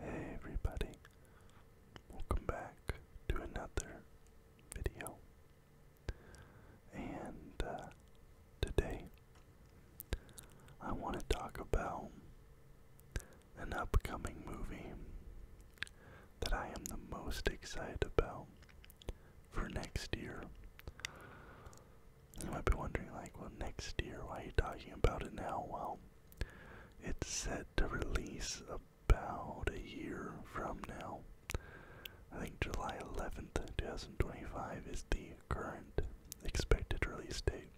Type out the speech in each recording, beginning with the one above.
Hey everybody, welcome back to another video. And uh, today I want to talk about an upcoming movie that I am the most excited about for next year. You might be wondering, like, well, next year, why are you talking about it now? Well, it's set to release about a year from now. I think July 11th, 2025 is the current expected release date.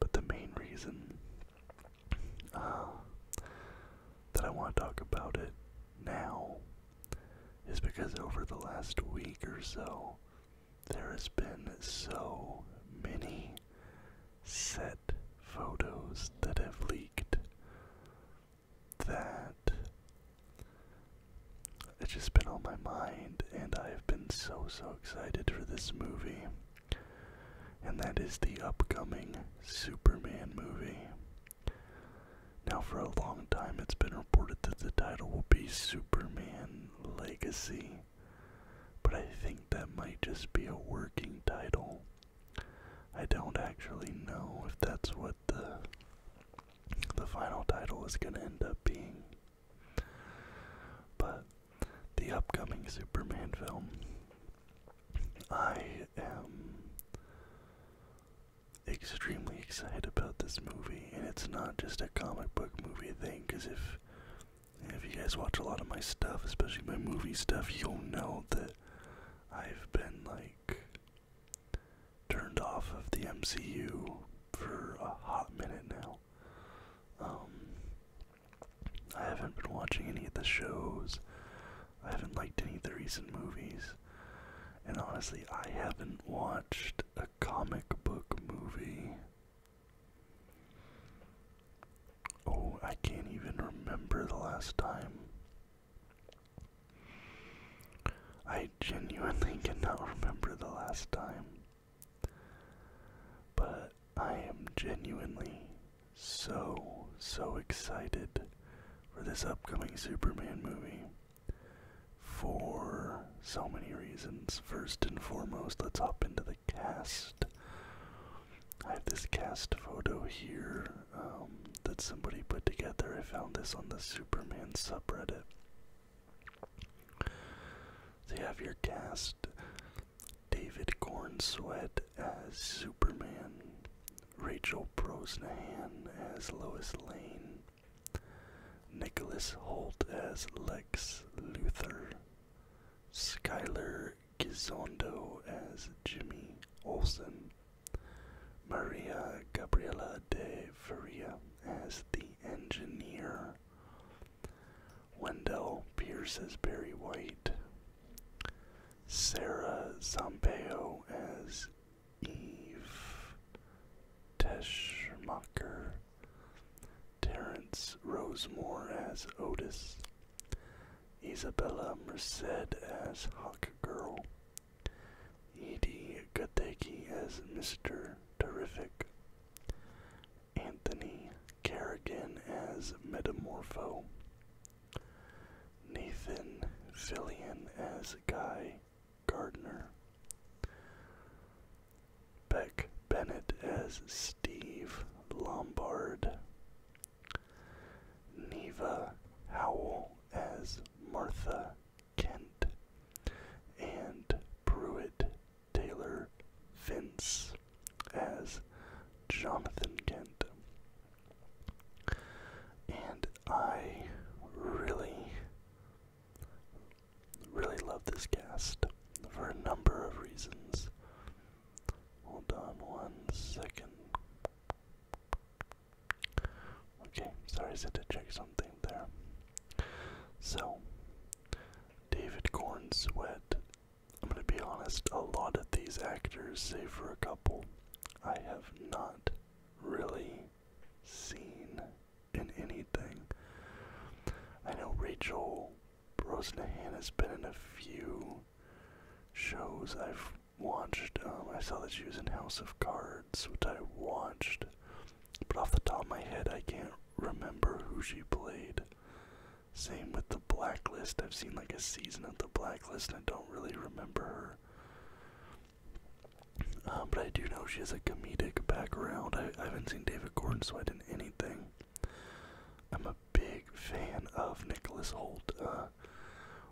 But the main reason uh, that I want to talk about it now is because over the last week or so, there has been so many set photos that have leaked that it's just been on my mind and I've been so so excited for this movie and that is the upcoming Superman movie. Now for a long time it's been reported that the title will be Superman Legacy but I think that might just be a working title. I don't actually know if that's what the the final title is going to end up being. But the upcoming Superman film, I am extremely excited about this movie, and it's not just a comic book movie thing, because if if you guys watch a lot of my stuff, especially my movie stuff, you'll know that I've been like turned off of the MCU for a hot minute now. Um, I haven't been watching any of the shows. I haven't liked any of the recent movies. And honestly, I haven't watched a comic book movie Oh, I can't even remember the last time. I genuinely cannot remember the last time. But I am genuinely so, so excited for this upcoming Superman movie. For so many reasons. First and foremost, let's hop into the cast. I have this cast photo here um, that somebody put together. I found this on the Superman subreddit. So you have your cast David Cornsweat as Superman, Rachel Brosnahan as Lois Lane, Nicholas Holt as Lex Luthor, Skylar Gizondo as Jimmy Olsen, Maria Gabriela de Faria as the engineer, Wendell Pierce as Barry White, Sarah Zampeo as Eve Teschmacher, Terence Rosemore as Otis, Isabella Merced as Hawk Girl, Edie Gadecki as Mr. Terrific, Anthony Kerrigan as Metamorpho, Nathan Zillion as Guy Gardner, Beck Bennett as Steve Lombard, Neva Howell as Martha Kent, and Pruitt Taylor Vince as Jonathan Kent. And I really Really love this cast for a number of reasons. Hold on one second. Okay, sorry, I had to check something there. So, David Corn Sweat. I'm gonna be honest, a lot of these actors, save for a couple, I have not really seen in anything. I know Rachel Rosnahan has been in a few shows I've watched. Um, I saw that she was in House of Cards, which I watched, but off the top of my head, I can't remember who she played. Same with The Blacklist. I've seen like a season of The Blacklist, and I don't really remember her. Um, but I do know she has a comedic background. I, I haven't seen David Gordon Sweat in anything. I'm a big fan of Nicholas Holt. Uh,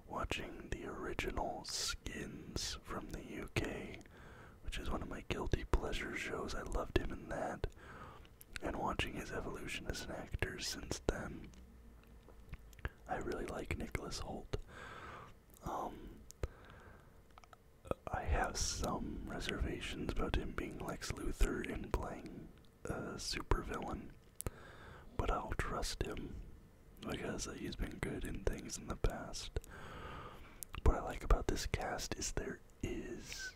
watching the original Skins from the UK, which is one of my guilty pleasure shows, I loved him in that. And watching his evolution as an actor since then, I really like Nicholas Holt. Um, I have some reservations about him being Lex Luthor and playing a supervillain, but I'll trust him because he's been good in things in the past. What I like about this cast is there is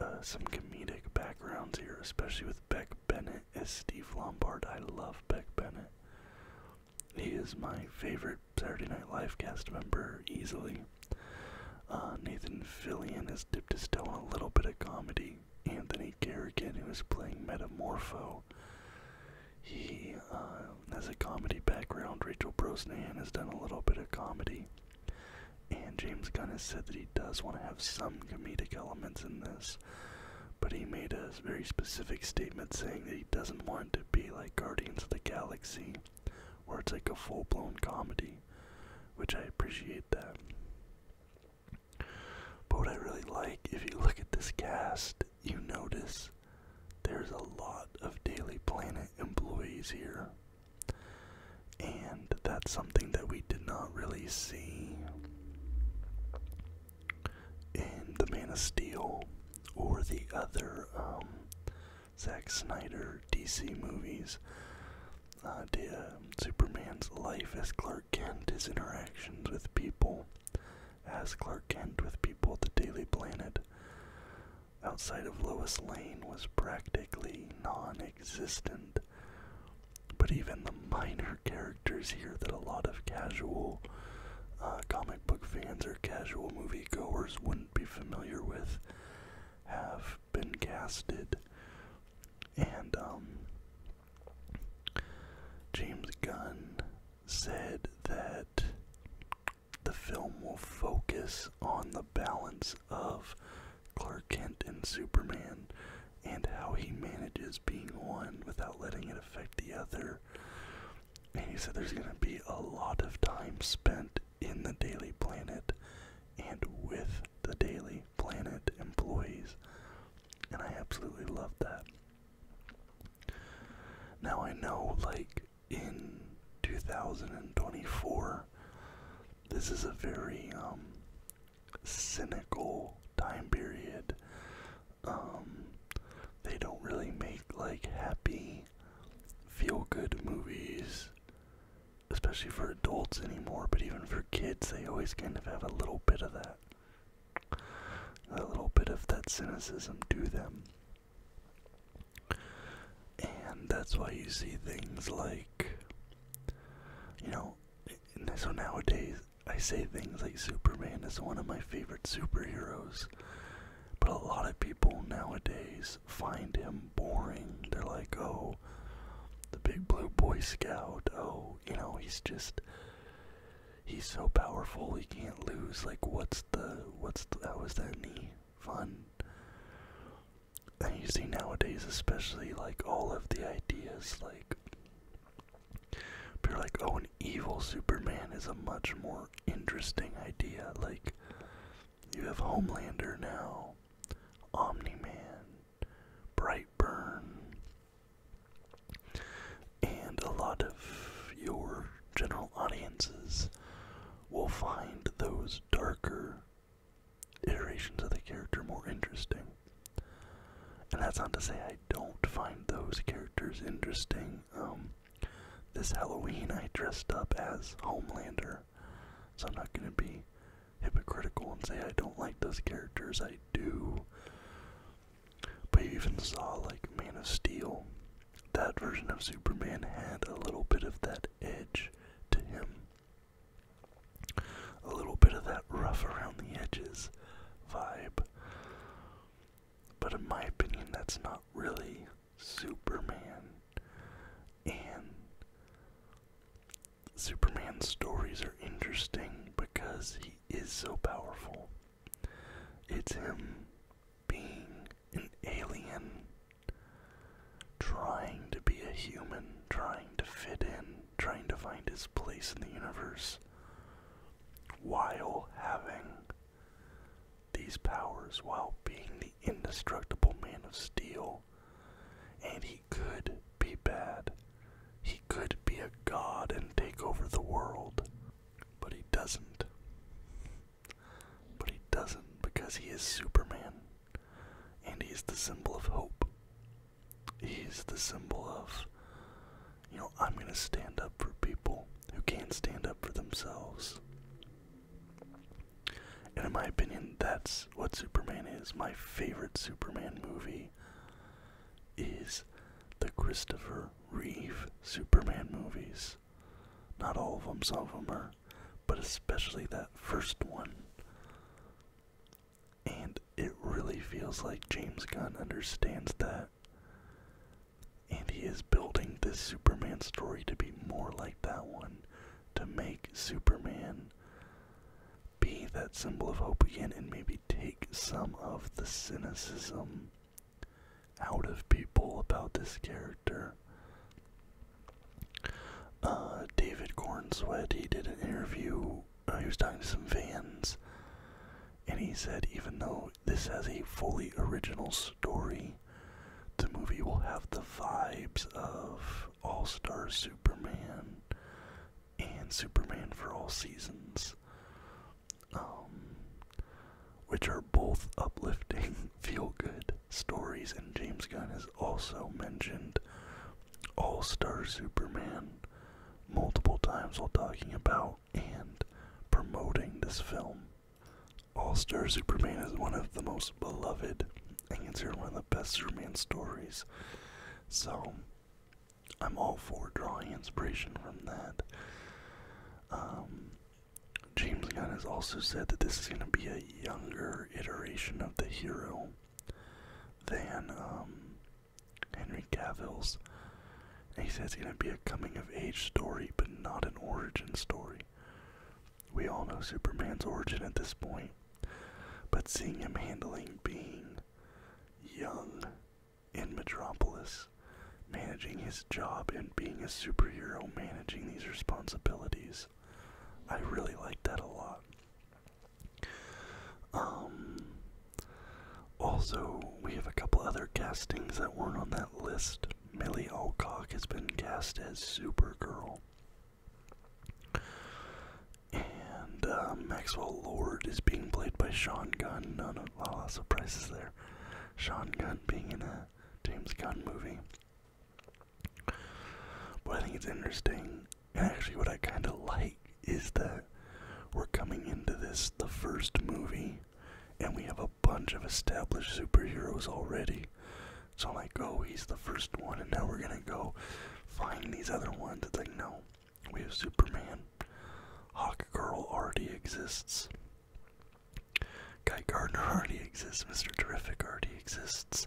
uh, some comedic backgrounds here, especially with Beck Bennett as Steve Lombard. I love Beck Bennett. He is my favorite Saturday Night Live cast member easily. Uh, Nathan Fillion has dipped his toe in a little bit of comedy. Anthony Garrigan, who is playing Metamorpho, he uh, has a comedy background. Rachel Brosnahan has done a little bit of comedy. And James Gunn has said that he does want to have some comedic elements in this, but he made a very specific statement saying that he doesn't want to be like Guardians of the Galaxy, where it's like a full blown comedy, which I appreciate that. But what I really like, if you look at this cast, you notice there's a lot of Daily Planet employees here. And that's something that we did not really see in The Man of Steel or the other um, Zack Snyder DC movies, uh, um, Superman's life as Clark Kent, his interactions with people as Clark Kent with people at the Daily Planet. Outside of Lois Lane was practically non existent. But even the minor characters here that a lot of casual uh, comic book fans or casual moviegoers wouldn't be familiar with have been casted, and um, James Gunn said that the film will focus on the balance of Clark Kent and Superman and how he manages being one without letting it affect the other. And he said there's going to be a lot of time spent in the Daily Planet and with the Daily Planet employees. And I absolutely love that. Now I know, like, in 2024, this is a very um, cynical time period. Um, they don't really make, like, happy, feel good movies especially for adults anymore, but even for kids, they always kind of have a little bit of that. A little bit of that cynicism to them. And that's why you see things like, you know, so nowadays I say things like Superman is one of my favorite superheroes, but a lot of people nowadays find him boring. They're like, oh, the big blue boy scout. Oh, you know, he's just he's so powerful he can't lose. Like, what's the what's the, how is that any fun? And you see nowadays, especially like all of the ideas, like people are like, oh, an evil Superman is a much more interesting idea. Like, you have Homelander now, Omni Man, Brightburn, and a lot of your general audiences will find those darker iterations of the character more interesting. And that's not to say I don't find those characters interesting. Um, this Halloween, I dressed up as Homelander, so I'm not going to be hypocritical and say I don't like those characters. I do. But you even saw, like, Man of Steel. That version of Superman had a little bit of that edge to him, a little bit of that rough around the edges vibe. But in my opinion, that's not really Superman. And Superman's stories are interesting because he is so powerful. It's him being an alien, trying to be a human, trying to fit in, trying to find his place in the universe, while having these powers while being the indestructible man of steel. And he could be bad. He could be a god and take over the world. But he doesn't. But he doesn't because he is Superman. And he's the symbol of hope. He's the symbol of, you know, I'm going to stand up for people who can't stand up for themselves. And in my opinion, that's what Superman is. My favorite Superman movie is the Christopher Reeve Superman movies. Not all of them, some of them are, but especially that first one. And it really feels like James Gunn understands that. And he is building this Superman story to be more like that one to make Superman be that symbol of hope again and maybe take some of the cynicism out of people about this character. David uh, David Cornsweat, he did an interview, uh, he was talking to some fans, and he said even though this has a fully original story, the movie will have the vibes of All Star Superman and Superman for All Seasons, um, which are both uplifting, feel good stories. And James Gunn has also mentioned All Star Superman multiple times while talking about and promoting this film. All Star Superman is one of the most beloved and it's one of the best Superman stories. So, I'm all for drawing inspiration from that. Um, James Gunn has also said that this is going to be a younger iteration of the hero than um, Henry Cavill's. he says it's going to be a coming of age story, but not an origin story. We all know Superman's origin at this point, but seeing him handling being young in Metropolis, managing his job and being a superhero, managing these responsibilities, I really like that a lot. Um, also, we have a couple other castings that weren't on that list. Millie Alcock has been cast as Supergirl. And um, Maxwell Lord is being played by Sean Gunn. No, no, a lot of surprises there. Sean Gunn being in a James Gunn movie. But I think it's interesting. And actually, what I kind of like is that we're coming into this, the first movie, and we have a bunch of established superheroes already. So i go. Oh, he's the first one, and now we're gonna go find these other ones. It's like, no, we have Superman. Hawk already exists. Guy Gardner already exists. Mr. Terrific already exists.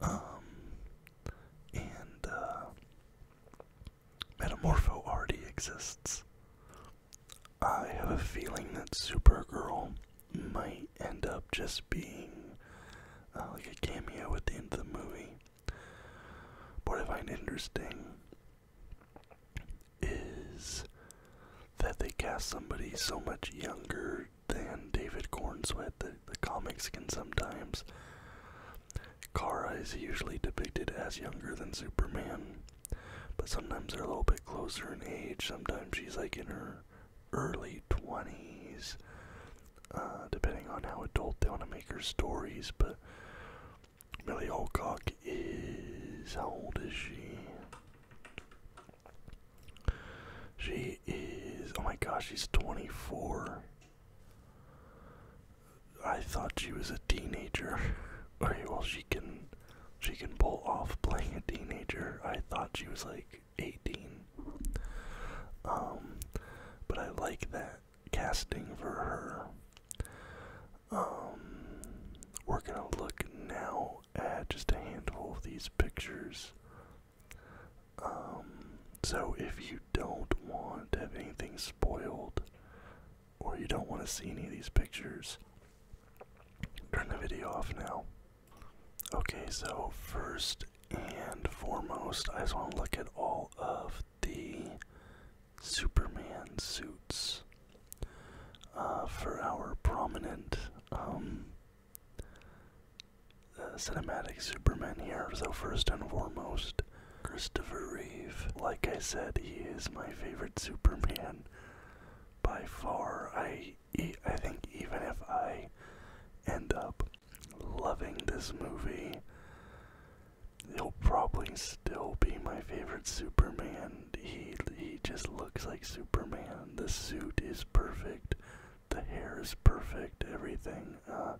Um, and uh, Metamorpho already exists. I have a feeling that Supergirl might end up just being uh, like a cameo at the end of the movie. What I find interesting is that they cast somebody so much younger than David Cornswet that the comics can sometimes. Kara is usually depicted as younger than Superman. But sometimes they're a little bit closer in age. Sometimes she's like in her early 20s, uh, depending on how adult they want to make her stories. But Millie Alcock is. How old is she? She is. Oh my gosh, she's 24. I thought she was a teenager. okay, well, she can she can pull off playing a teenager. I thought she was like 18. Um, but I like that casting for her. Um, we're gonna look now at just a handful of these pictures. Um, so if you don't want to have anything spoiled, or you don't want to see any of these pictures, Turn the video off now. Okay, so first and foremost, I just want to look at all of the Superman suits uh, for our prominent um, uh, cinematic Superman here. So, first and foremost, Christopher Reeve. Like I said, he is my favorite Superman by far. I I think even if I end up loving this movie, he'll probably still be my favorite Superman. He he just looks like Superman. The suit is perfect, the hair is perfect, everything. Uh,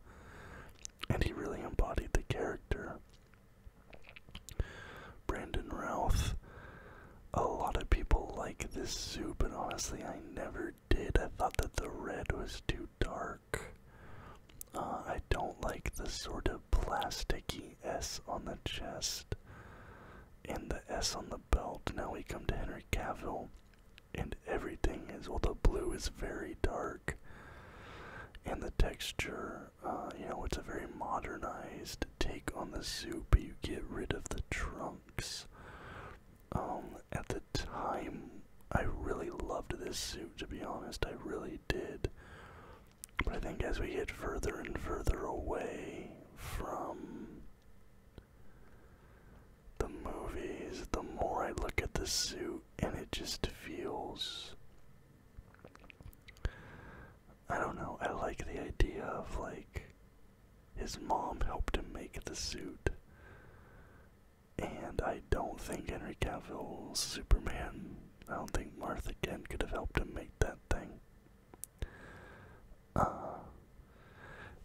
and he really embodied the character. Brandon Routh. A lot of people like this suit, but honestly, I never did. I thought that the red was too dark. Uh, I don't like the sort of plasticky S on the chest and the S on the belt. Now we come to Henry Cavill, and everything is well, the blue is very dark, and the texture, uh, you know, it's a very modernized take on the suit, but you get rid of the trunks. Um, at the time, I really loved this suit, to be honest. I really did. But I think as we get further and further away from the movies, the more I look at the suit, and it just feels. I don't know, I like the idea of like his mom helped him make the suit. And I don't think Henry Cavill's Superman, I don't think Martha Kent could have helped him make that thing. Uh,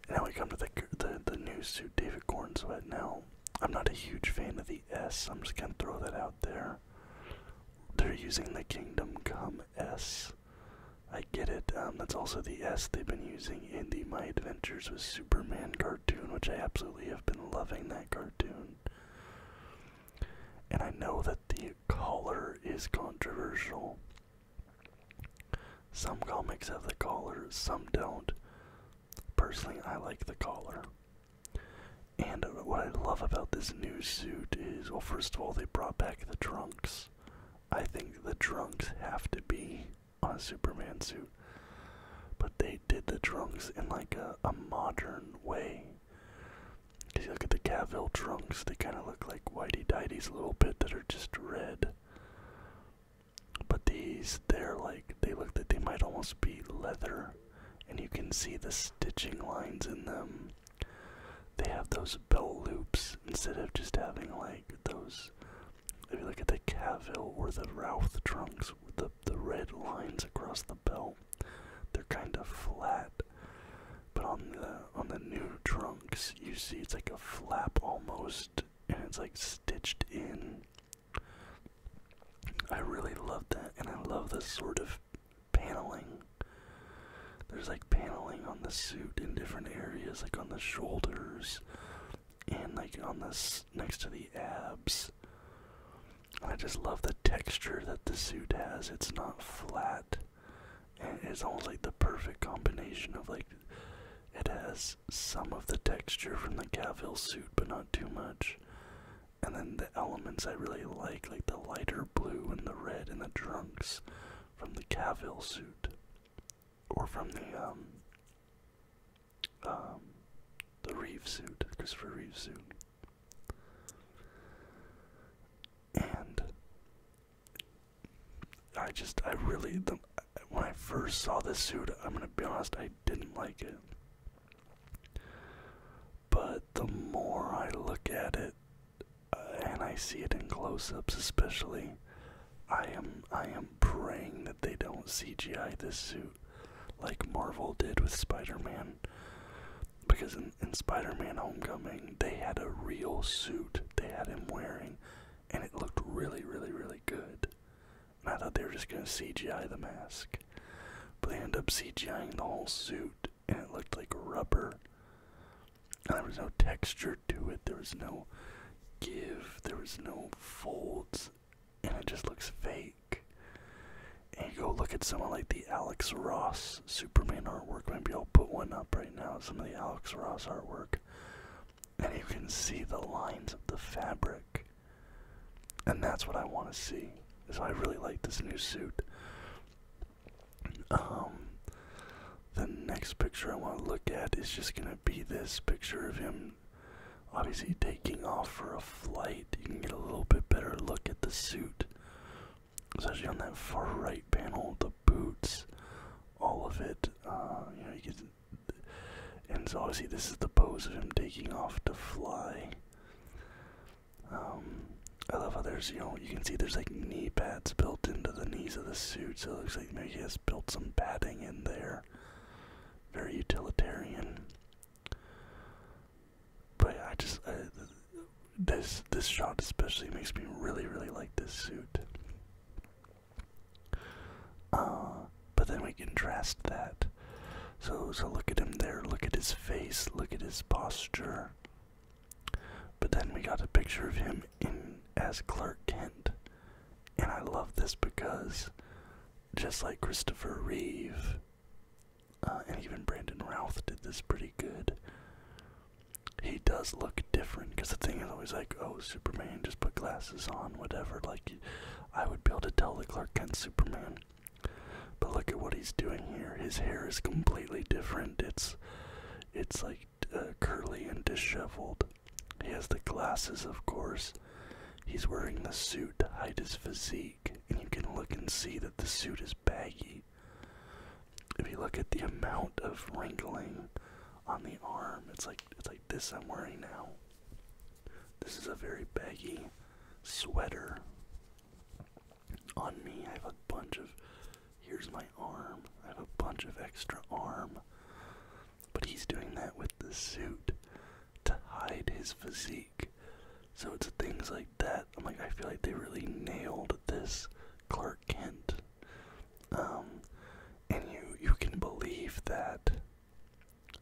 now we come to the, the, the new suit David Gordon's wet now. I'm not a huge fan of the S, I'm just gonna throw that out there. They're using the Kingdom Come S I get it. Um, that's also the S they've been using in the My Adventures with Superman cartoon, which I absolutely have been loving that cartoon. And I know that the collar is controversial. Some comics have the collar, some don't. Personally, I like the collar. And what I love about this new suit is, well, first of all, they brought back the trunks. I think the drunks have to be on a Superman suit. But they did the drunks in like a, modern way. Cause you look at the Cavill drunks, they kind of look like whitey dities a little bit that are just red. But these, they're like, they look that they might almost be leather, and you can see the stitching lines in them they have those bell loops instead of just having like those. If you look at the Cavill or the Routh trunks with the, the red lines across the belt, they're kind of flat. But on the on the new trunks, you see it's like a flap almost, and it's like stitched in. I really love that, and I love the sort of paneling. There's like paneling on the suit in different areas, like on the shoulders and like on this next to the abs. I just love the texture that the suit has. It's not flat. it's almost like the perfect combination of like it has some of the texture from the Cavill suit, but not too much. And then the elements I really like, like the lighter blue and the red and the trunks, from the Cavill suit, or from the um, um, the Reeve suit, Christopher Reeve suit, and I just I really when I first saw this suit, I'm gonna be honest, I didn't like it. But the more I look at it, and I see it in close-ups especially. I am I am praying that they don't CGI this suit like Marvel did with Spider-Man. Because in, in Spider-Man Homecoming, they had a real suit they had him wearing, and it looked really, really, really good. And I thought they were just gonna CGI the mask, but they end up CGIing the whole suit, and it looked like rubber. there was no texture to it, there was no give, there was no folds, and it just looks fake. And you go look at someone like the Alex Ross Superman artwork, maybe I'll put one up right now, some of the Alex Ross artwork, and you can see the lines of the fabric. And that's what I want to see. So I really like this new suit. Um, the next picture I want to look at is just gonna be this picture of him obviously taking off for a flight. You can get a little bit better look at the suit, especially on that far right panel, the boots, all of it. Uh, you know, and so obviously this is the pose of him taking off to fly. Um, I love how there's, you know, you can see there's like knee pads built into the knees of the suit, so it looks like maybe he has built some padding in there. Very utilitarian. But I just, this this shot especially makes me really, really like this suit. Ah, but then we contrast that. So, so look at him there. Look at his face. Look at his posture. But then we got a picture of him in as Clark Kent. And I love this because just like Christopher Reeve uh, and even Brandon Routh did this pretty good. He does look different because the thing is always like, oh, Superman, just put glasses on, whatever. Like, I would be able to tell the Clark Kent Superman. But look at what he's doing here. His hair is completely different. It's it's like uh, curly and disheveled. He has the glasses, of course. He's wearing the suit to hide his physique, and you can look and see that the suit is baggy. If you look at the amount of wrinkling on the arm, it's like it's like this I'm wearing now. This is a very baggy sweater on me. I have a bunch of. Here's my arm. I have a bunch of extra arm. But he's doing that with the suit to hide his physique. So it's things like that. I'm like, I feel like they really nailed this Clark Kent. Um, and you you can believe that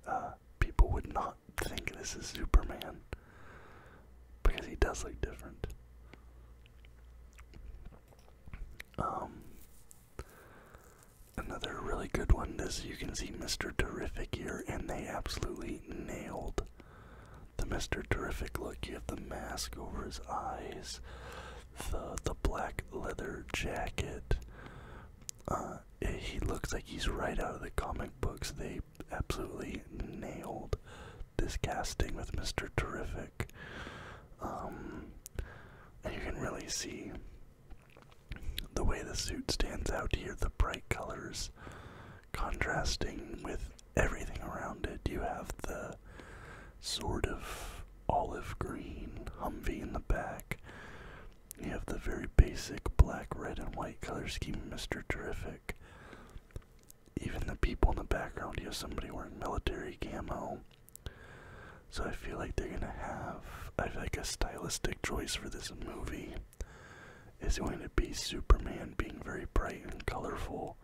uh, people would not think this is Superman. Because he does look different. Um, another really good one is you can see Mr. Terrific here, and they absolutely nailed the Mr. Terrific look. You have the mask over his eyes, the the black leather jacket. Uh, he looks like he's right out of the comic books. They absolutely nailed this casting with Mr. Terrific. Um, you can really see the way the suit stands out here, the bright colors contrasting with everything around it. You have the sort of olive green Humvee in the back. You have the very basic black, red, and white color scheme, Mr. Terrific even the people in the background, you have somebody wearing military camo. So I feel like they're gonna have, I feel like a stylistic choice for this movie is going to be Superman being very bright and colorful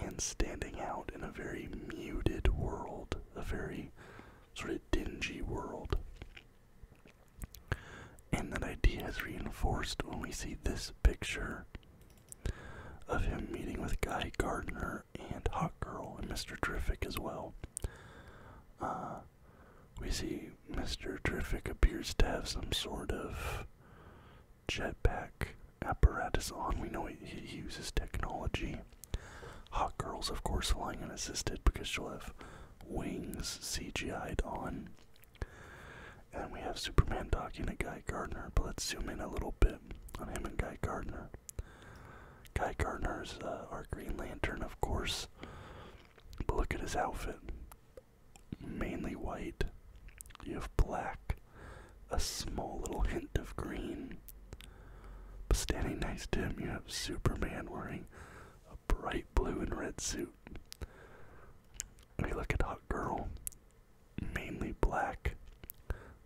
and standing out in a very muted world, a very sort of dingy world. And that idea is reinforced when we see this picture of him meeting with Guy Gardner and Hot Girl and Mr. Terrific as well. Uh, we see Mr. Terrific appears to have some sort of jetpack apparatus on. We know he, he uses technology. Hot Girl's, of course, flying unassisted because she'll have wings CGI'd on. And we have Superman talking to Guy Gardner, but let's zoom in a little bit on him and Guy Gardner. Guy Gardner is uh, our Green Lantern, of course, but look at his outfit. Mainly white. You have black, a small little hint of green. But standing next to him, you have Superman wearing a bright blue and red suit. We look at Hot Girl, mainly black.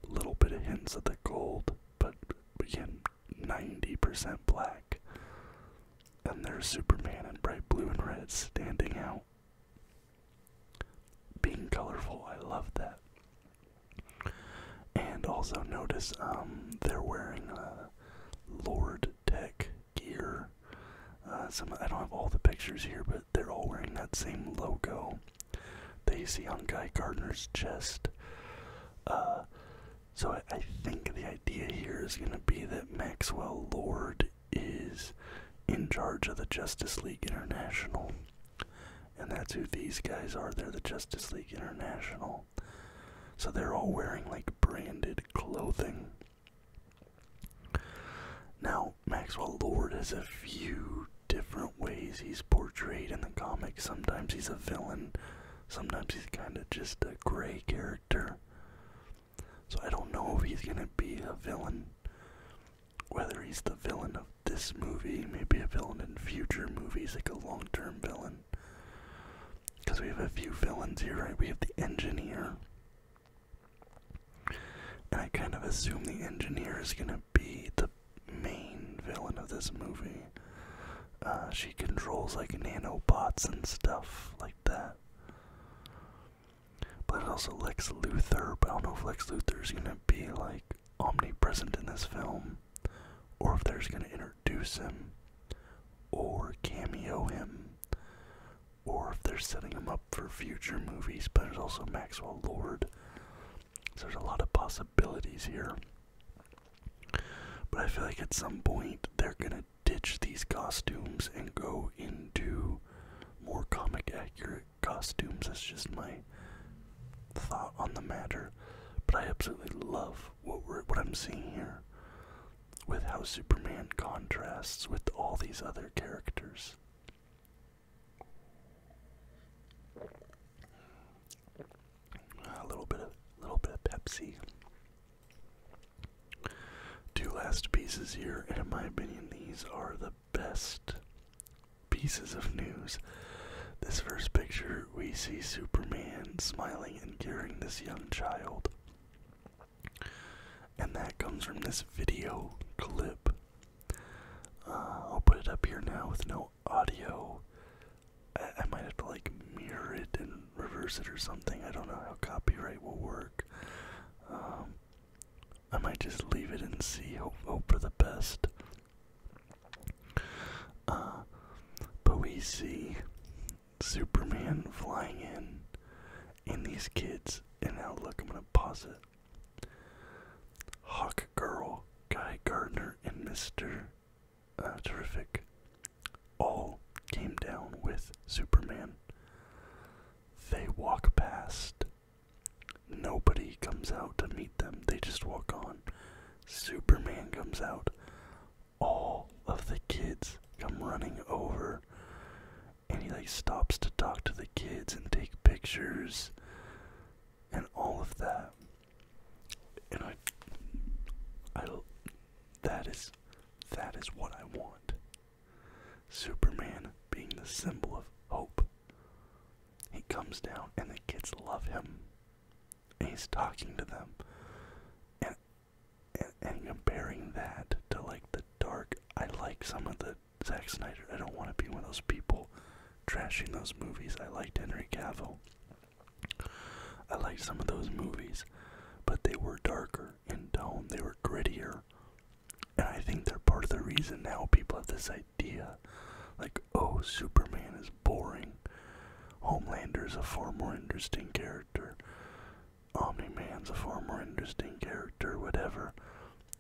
Little bit of hints of the gold, but again, 90% black. And there's Superman in bright blue and red standing out. Being colorful, I love that. And also notice um, they're wearing a uh, Lord Tech gear. Uh, some I don't have all the pictures here, but they're all wearing that same logo that you see on Guy Gardner's chest. Uh, so I think the idea here is going to be that Maxwell Lord is in charge of the Justice League International. And that's who these guys are. They're the Justice League International. So they're all wearing like branded clothing. Now, Maxwell Lord has a few different ways he's portrayed in the comics. Sometimes he's a villain, sometimes he's kind of just a gray character. So I don't know if he's going to be a villain. Whether he's the villain of this movie, maybe a villain in future movies, like a long term villain. Because we have a few villains here, right? We have the engineer, and I kind of assume the engineer is gonna be the main villain of this movie. Uh, she controls like nanobots and stuff like that. But also Lex Luthor, I don't know if Lex Luthor is gonna be like omnipresent in this film, or if they're just gonna introduce him, or cameo him, or if they're setting him up for future movies. But there's also Maxwell Lord. So there's a lot of possibilities here. But I feel like at some point they're gonna ditch these costumes and go into more comic accurate costumes. That's just my thought on the matter. But I absolutely love what we're what I'm seeing here with how Superman contrasts with all these other characters. A little bit of little bit of Pepsi. Two last pieces here, and in my opinion, these are the best pieces of news. This first picture, we see Superman smiling and carrying this young child. And that comes from this video clip. Uh, I'll put it up here now with no audio. I, might have to like mirror it and reverse it or something. I don't know how copyright will work. Um, I might just leave it and see. Hope, for the best. Uh, but we see Superman flying in, and these kids in Outlook. I'm going to pause it. Hawk Girl, Guy Gardner, and Mr. Uh, Terrific all came down with Superman. They walk past. Nobody comes out to meet them. They just walk on. Superman comes out. All of the kids come running over and he like stops to talk to the kids and take pictures and all of that and i i that is that is what i want superman being the symbol of hope he comes down and the kids love him he's talking to them and, and comparing that to like the dark i like some of the but Zack Snyder, I don't want to be one of those people trashing those movies. I liked Henry Cavill. I liked some of those movies, but they were darker in tone, they were grittier. And I think they're part of the reason now people have this idea like, oh, Superman is boring. Homelander is a far more interesting character. Omni-Man's a far more interesting character, whatever,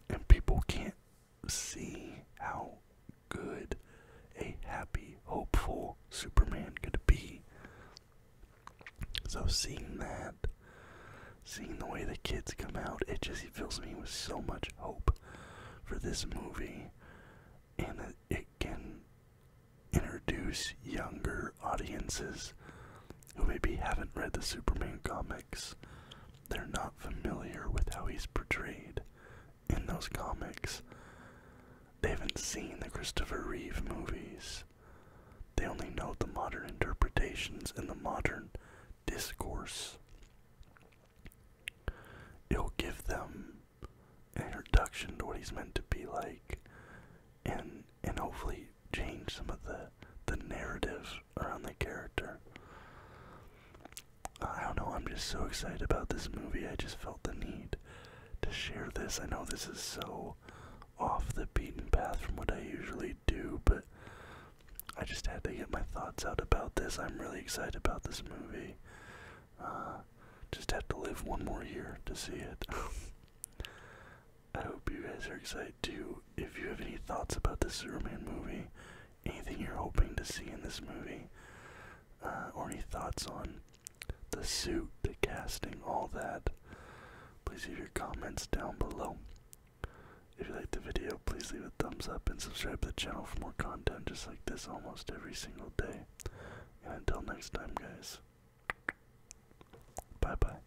and people can't see how good a happy, hopeful Superman could be. So seeing that, seeing the way the kids come out, it just fills me with so much hope for this movie, and it can introduce younger audiences who maybe haven't read the Superman comics, they're not familiar with how he's portrayed in those comics. They haven't seen the Christopher Reeve movies. They only know the modern interpretations and the modern discourse. It'll give them an introduction to what he's meant to be like and and hopefully change some of the the narrative around the character. I don't know, I'm just so excited about this movie. I just felt the need to share this. I know this is so off the beaten path from what I usually do, but I just had to get my thoughts out about this. I'm really excited about this movie. Uh, just have to live one more year to see it. I hope you guys are excited too. If you have any thoughts about this Superman movie, anything you're hoping to see in this movie, uh, or any thoughts on the suit, the casting, all that, please leave your comments down below. If you liked the video, please leave a thumbs up and subscribe to the channel for more content just like this almost every single day. And until next time, guys, bye bye.